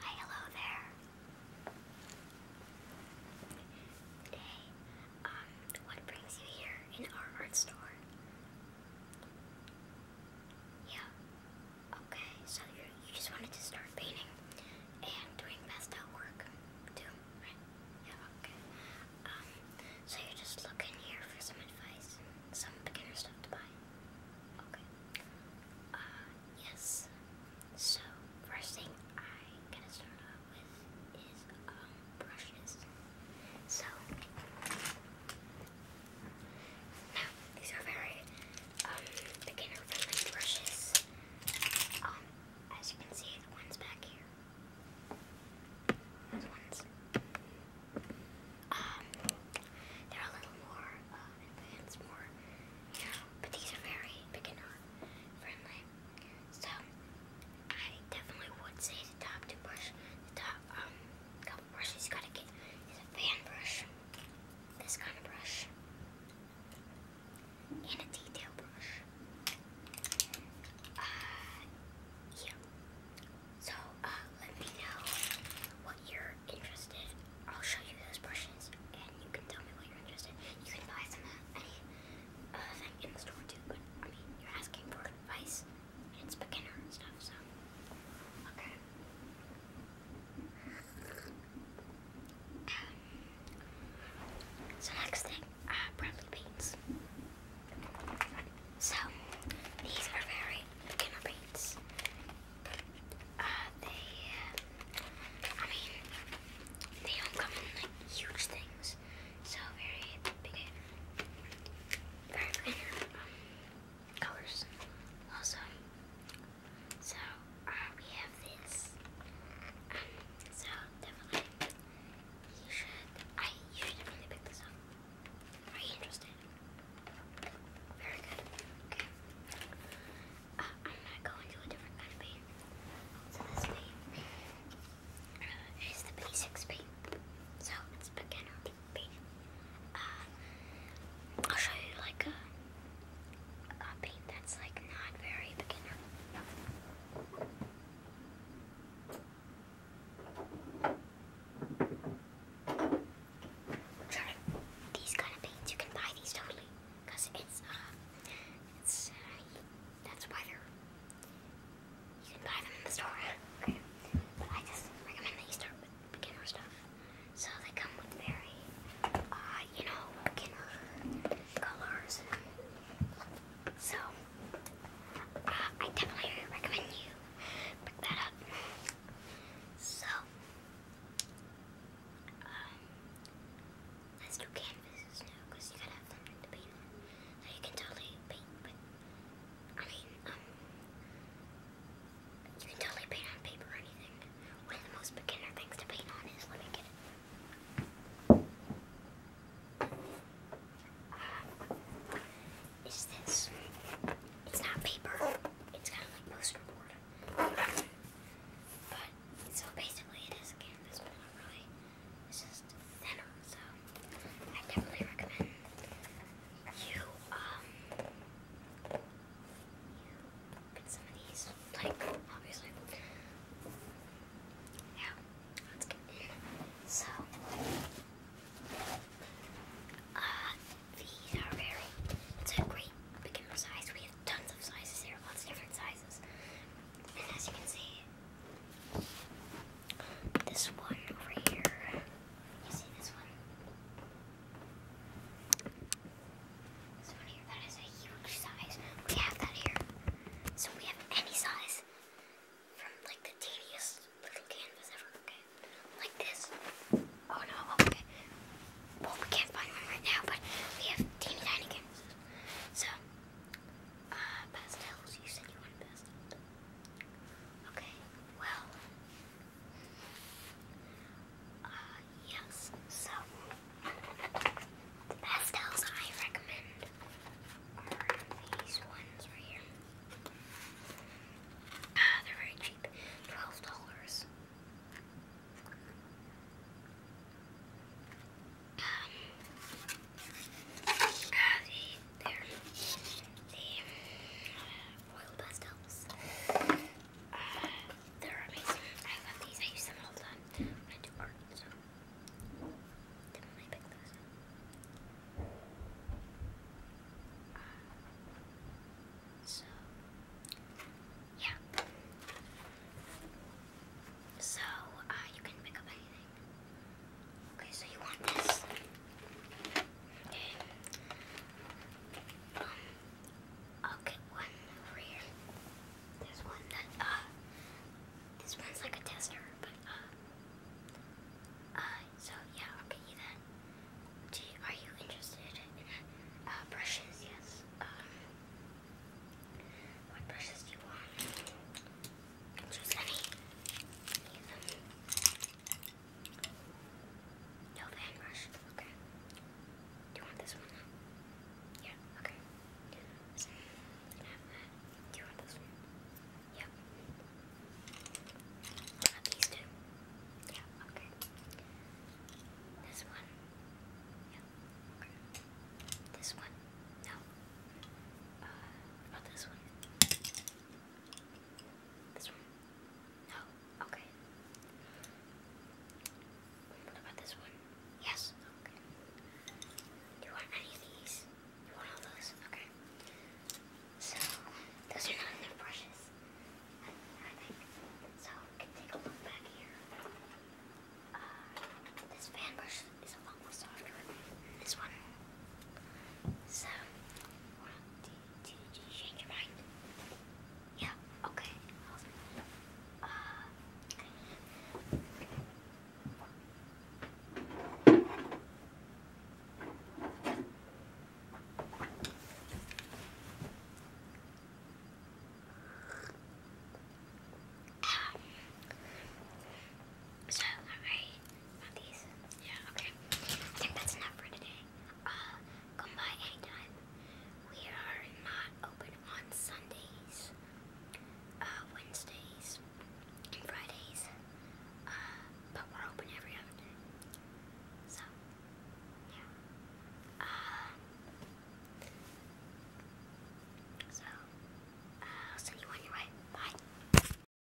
Hi, hello there. Today, um, what brings you here in our art store? Yeah. Okay, so you just wanted to start painting and doing best at work too, right? Yeah. Okay. Um, so you're just looking here for some advice, some beginner stuff to buy. Okay. Uh, yes. So, first thing i gonna start off with is, um, brushes. So, now, these are very, um, beginner-friendly brushes. Um, as you can see, the one's back here. Those ones. Um, they're a little more uh, advanced, more, you but these are very beginner friendly. So, I definitely would say the top two brush, the top um, couple brushes gotta get is a fan brush, this kind of brush, and a detail brush. Uh, yeah. So, uh, let me know what you're interested I'll show you those brushes, and you can tell me what you're interested in. You can buy some at any uh, thing in the store, too, but, I mean, you're asking for advice, it's beginner stuff, so, okay. Um, so next thing, uh, Bradley Bates. So, these are very beginner paints. Uh, they, I mean, they don't come in like huge things, so very big, very beginner um, colors. Also, so uh, we have this. Um, so definitely, you should. I you should definitely pick this up. Are you interested? Very good. Okay. Uh, I'm gonna go into a different kind of paint. So this paint uh, is the basics paint. So it's beginner paint. Uh, I'll show you like a, a paint that's like not very beginner these kind of paints. You can buy these totally, cause it's uh, it's uh, that's why they're. You can buy them in the store. Okay, but I just recommend that you start with beginner stuff. So they come with very, uh, you know, beginner colors. So uh, I definitely recommend you pick that up. So, um, let's do canvases now you gotta have something to paint Now you can totally paint, but I mean, um, you can totally paint on paper or anything. One of the most beginner things to paint on is, let me get it's this. It's not paper. It's kind of like poster board. But so basically, it is a canvas, but not really. It's just thinner. So I definitely recommend you um you some of these. Like obviously. Now, let's get in. So, uh, these are very, it's a great beginner size. We have tons of sizes here, lots of different sizes. And as you can see, this one over here, you see this one? So We have that here. any size from like the tedious little canvas ever. like this. Oh no. Oh, okay. Well, we can't find one right now, but we have teeny tiny canvases. So, uh, pastels. You said you wanted pastels. Okay. Well, uh, yes, so pastels I recommend are these ones right here. Ah, they're very cheap. Twelve dollars. Um, ah, uh, the, they're, the oil pastels. Uh, they're amazing. I love these. I use them all the time I do art, so definitely pick those uh, so, yeah. So, uh, you can pick up anything. Okay, so you want this. Okay. Um, I'll get one over here. There's one that, uh, this one's like a tester, but, uh, uh, so yeah, I'll get you that. Do you, are you interested in, uh, brushes? Yes. Um, what brushes do you want? Choose any. No van rush. Okay. Do you want this one Yeah, okay. Do you want this one? Yep. i have these two. Yeah, okay. This one. Yep. Okay. This one. No. Uh, this one? This one. No? Okay. What about this one? Yes? Okay. Do you want any of these? You want all those? Okay. So, those are not enough brushes, So, we can take a look back here. Uh, this fan brush is a lot softer this one. So, change your mind? Yeah, okay. Uh, okay. Um, so, not these? Yeah, okay. I think that's enough for today. Uh, come by anytime. We are not open on Sundays, uh, Wednesdays, and Fridays. Uh, but we're open every other day. So, yeah. so, send you on your way. Bye.